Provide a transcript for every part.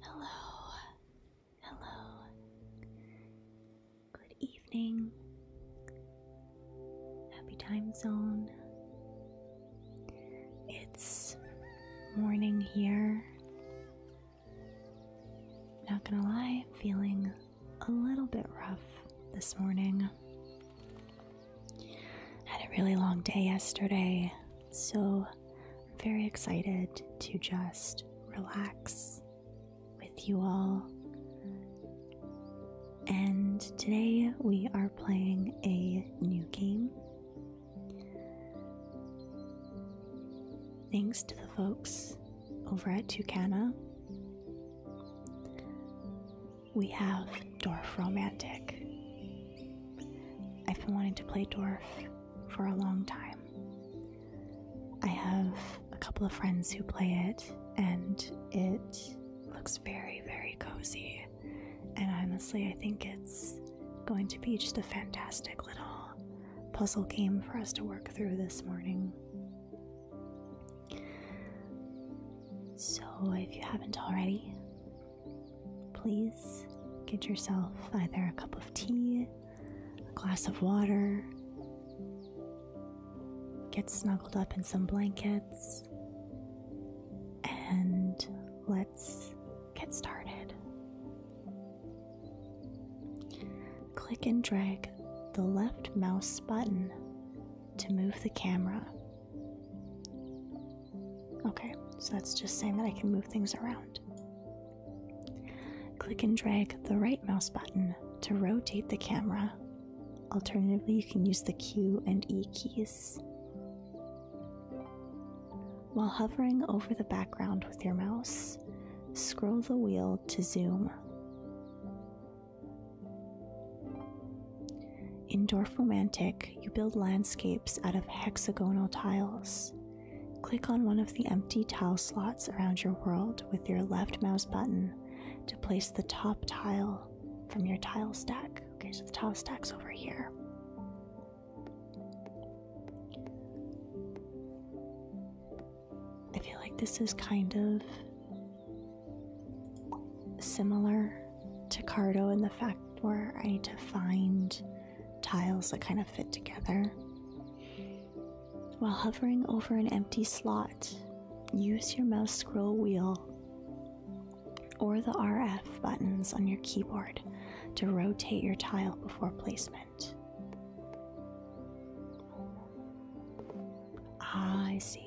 Hello, hello. Good evening. Happy time zone. It's morning here. Not gonna lie, feeling a little bit rough this morning. Had a really long day yesterday, so I'm very excited to just relax with you all. And today we are playing a new game. Thanks to the folks over at Tucana. We have Dwarf Romantic. I've been wanting to play Dwarf for a long time. I have a couple of friends who play it, and it looks very, very cozy. And honestly, I think it's going to be just a fantastic little puzzle game for us to work through this morning. So, if you haven't already, please get yourself either a cup of tea, a glass of water, get snuggled up in some blankets, and let's get started. Click and drag the left mouse button to move the camera. Okay, so that's just saying that I can move things around. Click and drag the right mouse button to rotate the camera. Alternatively, you can use the Q and E keys. While hovering over the background with your mouse, scroll the wheel to zoom. In Dorf Romantic, you build landscapes out of hexagonal tiles. Click on one of the empty tile slots around your world with your left mouse button to place the top tile from your tile stack. Okay, so the tile stack's over here. I feel like this is kind of similar to Cardo in the fact where I need to find tiles that kind of fit together. While hovering over an empty slot, use your mouse scroll wheel or the RF buttons on your keyboard to rotate your tile before placement. Ah, I see.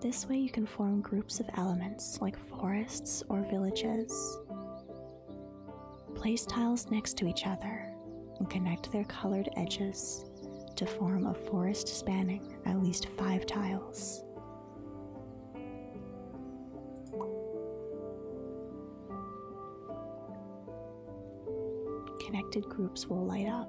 This way you can form groups of elements like forests or villages. Place tiles next to each other and connect their colored edges to form a forest spanning at least five tiles. Connected groups will light up.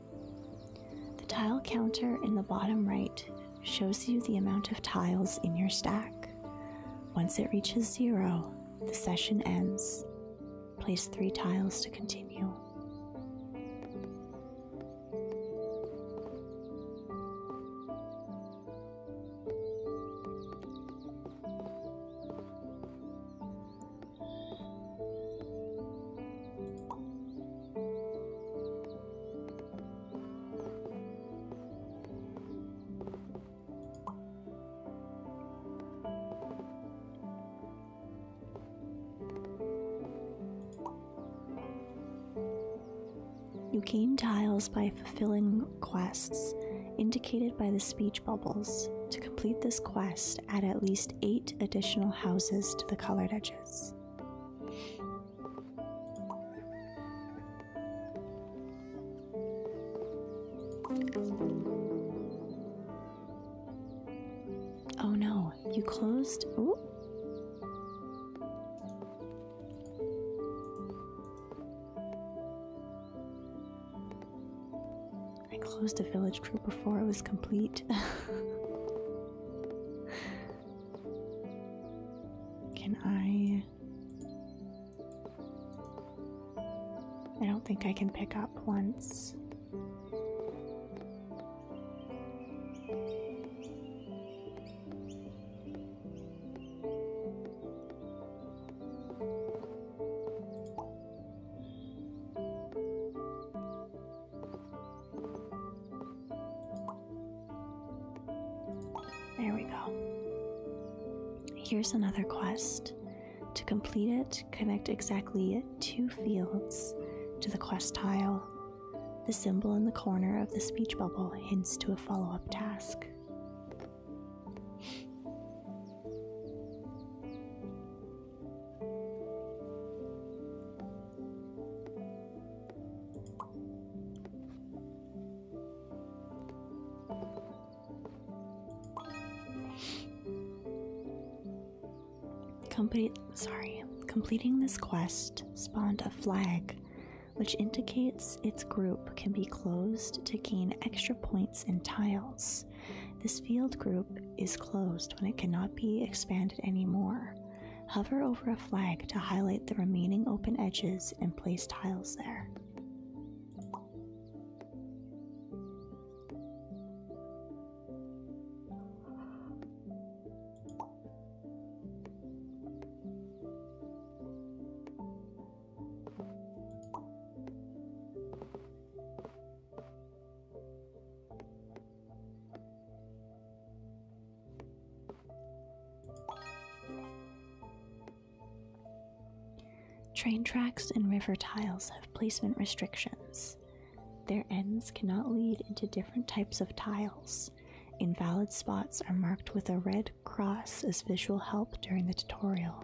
The tile counter in the bottom right shows you the amount of tiles in your stack. Once it reaches zero, the session ends. Place three tiles to continue. You gain tiles by fulfilling quests indicated by the speech bubbles. To complete this quest, add at least eight additional houses to the colored edges. Oh no, you closed. Ooh. I closed a village group before it was complete. Can I. I don't think I can pick up once. There we go. Here's another quest. To complete it, connect exactly two fields to the quest tile. The symbol in the corner of the speech bubble hints to a follow up task sorry, completing this quest spawned a flag, which indicates its group can be closed to gain extra points and tiles. This field group is closed when it cannot be expanded anymore. Hover over a flag to highlight the remaining open edges and place tiles there. Train tracks and river tiles have placement restrictions. Their ends cannot lead into different types of tiles. Invalid spots are marked with a red cross as visual help during the tutorial.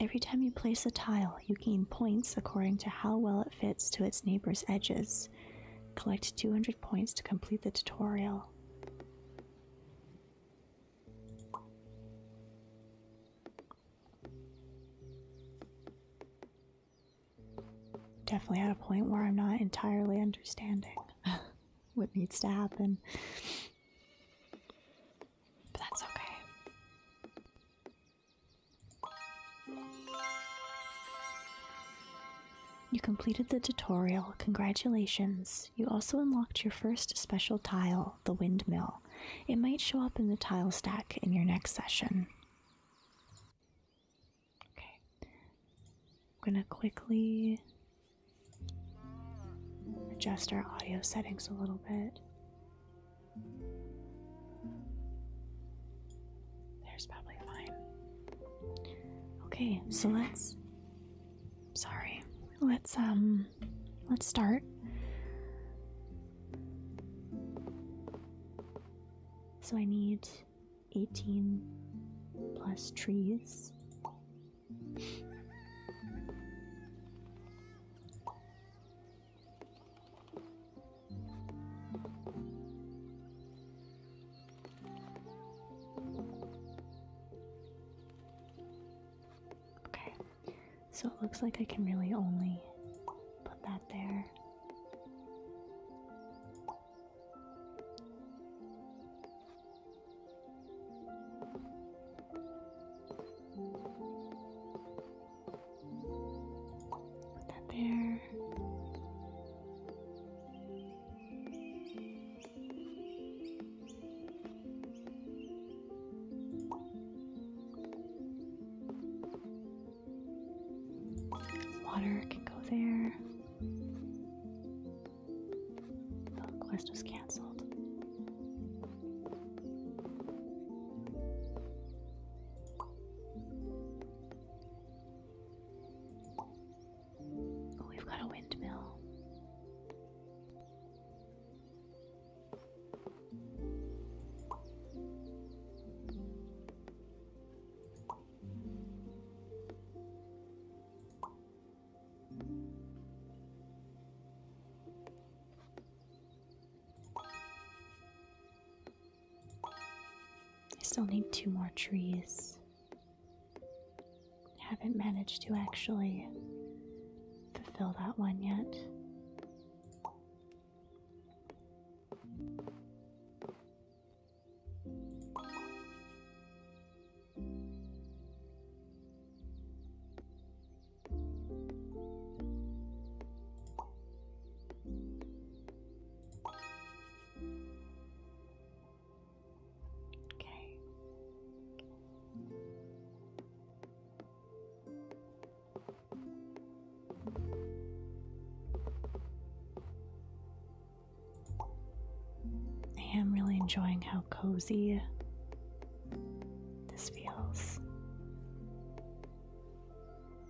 Every time you place a tile, you gain points according to how well it fits to its neighbor's edges. Collect 200 points to complete the tutorial. Definitely at a point where I'm not entirely understanding what needs to happen. But that's okay. You completed the tutorial. Congratulations. You also unlocked your first special tile, the windmill. It might show up in the tile stack in your next session. Okay. I'm going to quickly adjust our audio settings a little bit. There's probably fine. Okay, so let's sorry. Let's um let's start. So I need 18 plus trees. Okay, so it looks like I can really only put that there. Put that there. Water can go there. The quest was cancelled. Oh, we've got a windmill. I still need two more trees. I haven't managed to actually fulfill that one yet. Okay. I am really enjoying how cozy this feels.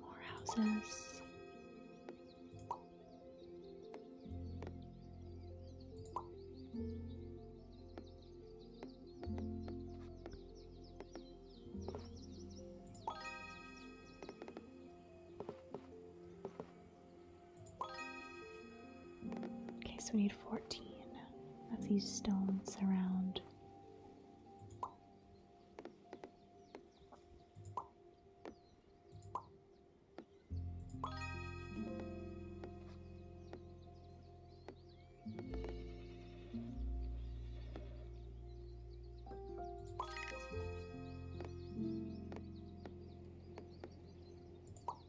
More houses. Okay, so we need 14 of these stones around.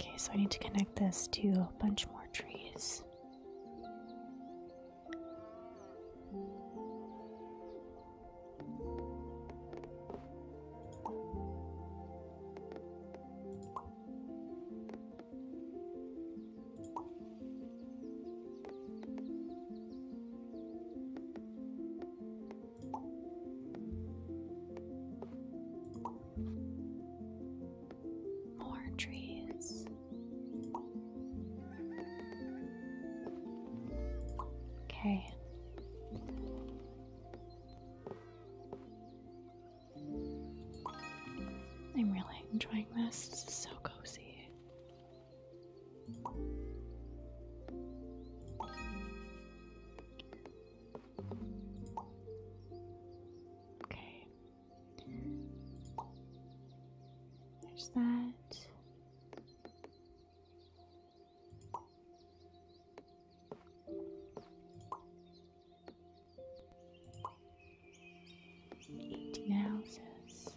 Okay, so I need to connect this to a bunch more trees. More trees. Okay. I'm really enjoying this. It's so cozy. Okay. There's that. Eighteen houses.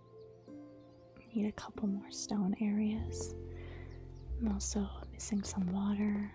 Need a couple more stone areas. I'm also missing some water.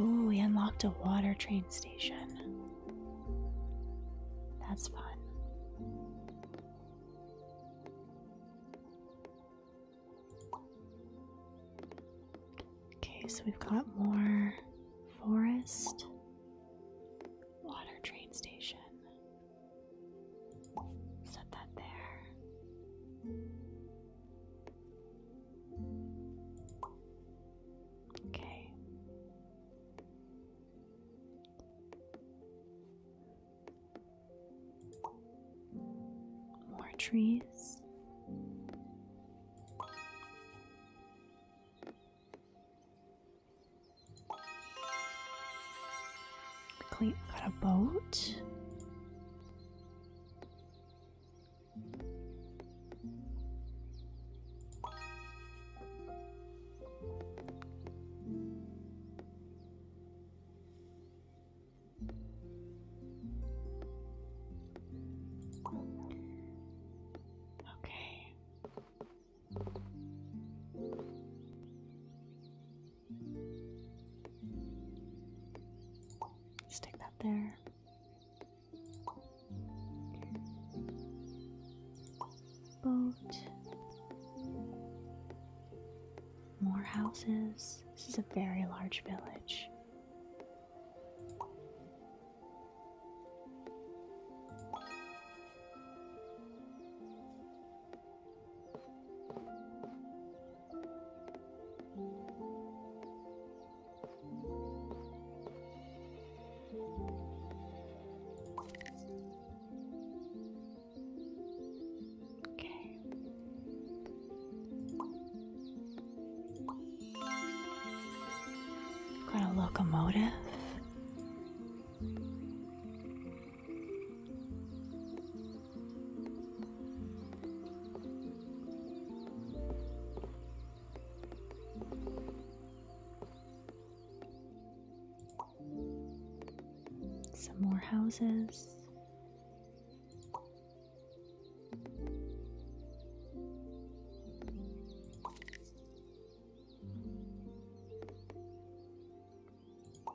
Ooh, we unlocked a water train station. That's fun. Okay, so we've got more forest, water train station. Set that there. Okay. More trees. Quickly, got a boat. Okay. Stick that there. Boat. More houses. This is a very large village. Okay. Got a locomotive. Some more houses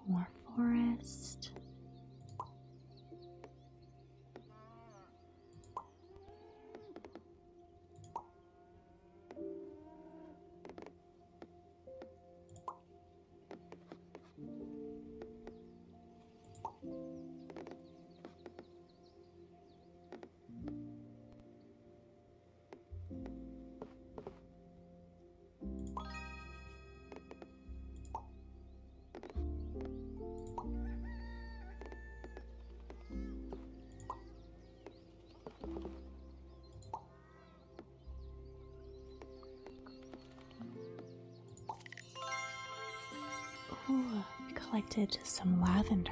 more forest. Ooh, collected some lavender.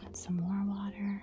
Got some more water.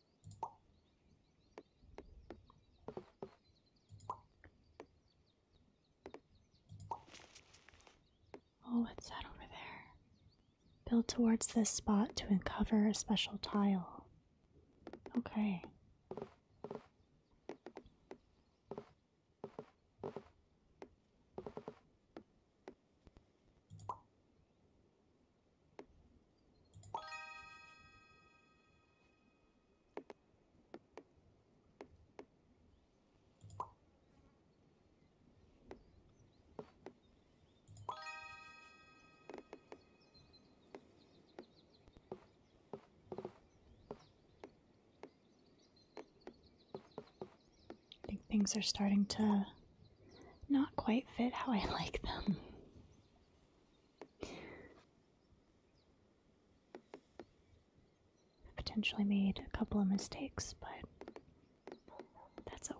Oh, what's that over there? Build towards this spot to uncover a special tile. Okay. I think things are starting to not quite fit how I like them. I potentially made a couple of mistakes, but that's okay.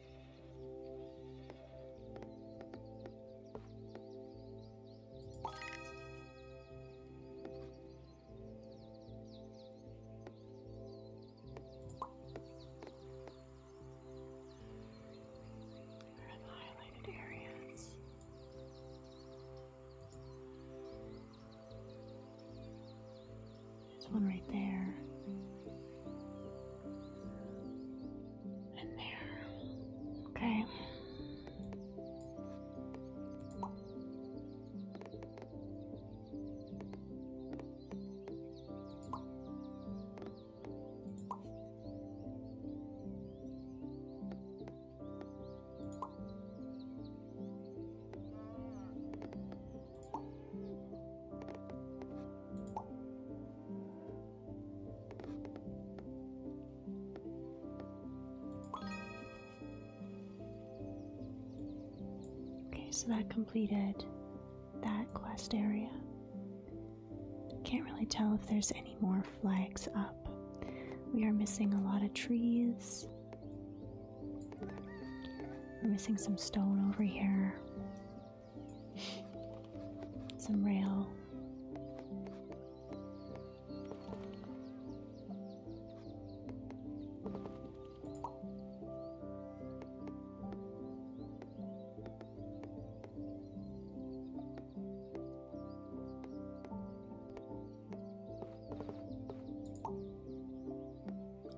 highlighted areas. There's one right there and there. Okay. Okay, so that completed that quest area. Can't really tell if there's any more flags up. We are missing a lot of trees. We're missing some stone over here some real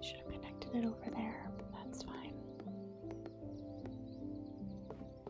should have connected it over there. That's fine.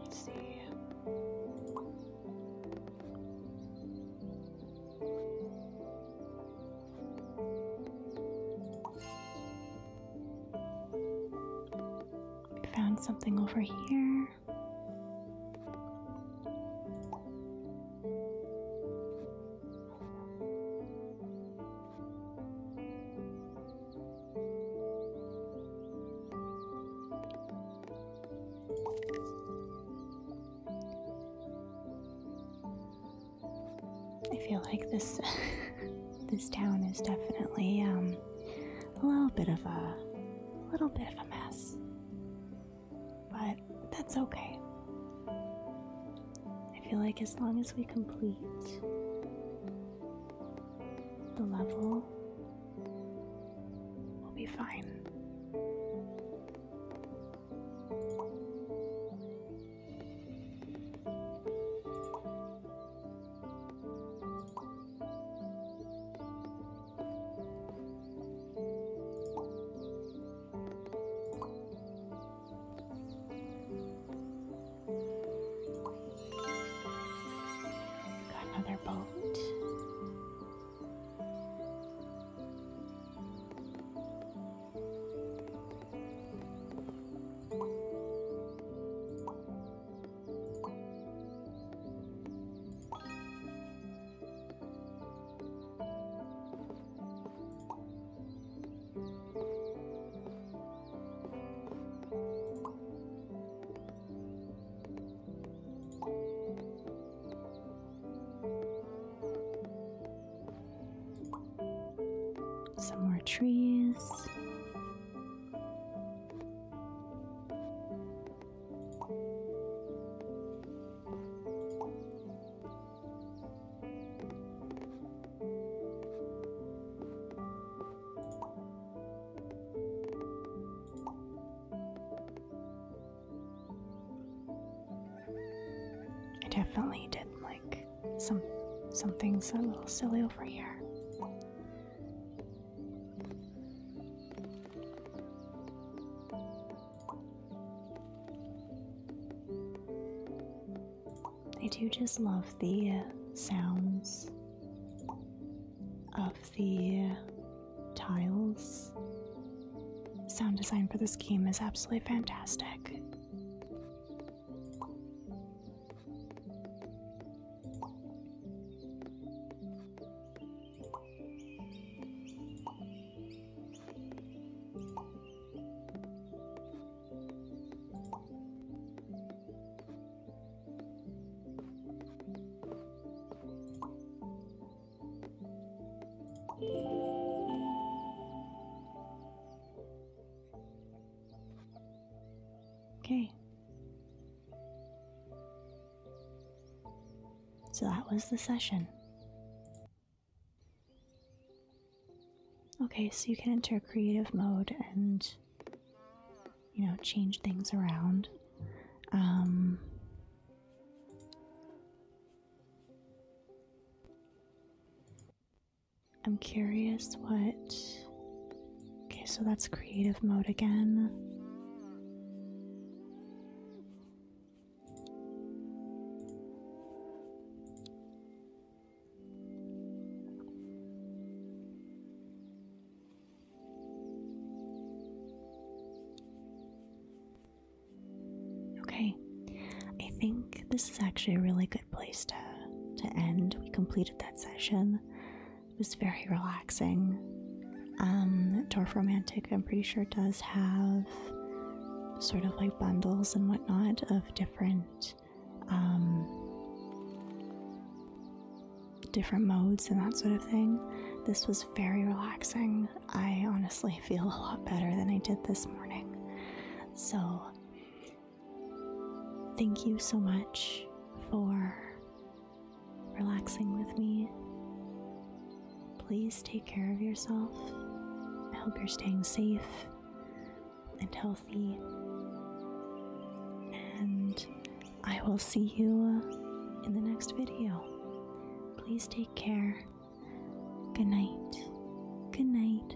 Let's see. We found something over here. I feel like this this town is definitely um, a little bit of a, a little bit of a mess, but that's okay. I feel like as long as we complete the level, we'll be fine. Got another boat. Some more trees. I definitely did like some some things a little silly over here. I do just love the uh, sounds of the uh, tiles. Sound design for this game is absolutely fantastic. Okay. So that was the session. Okay, so you can enter creative mode and, you know, change things around. Um, I'm curious what. Okay, so that's creative mode again. Okay, I think this is actually a really good place to to end. We completed that session. It was very relaxing. Um, Dwarf Romantic, I'm pretty sure, does have sort of like bundles and whatnot of different um, different modes and that sort of thing. This was very relaxing. I honestly feel a lot better than I did this morning. So, thank you so much for relaxing with me. Please take care of yourself. I hope you're staying safe and healthy. And I will see you in the next video. Please take care. Good night. Good night.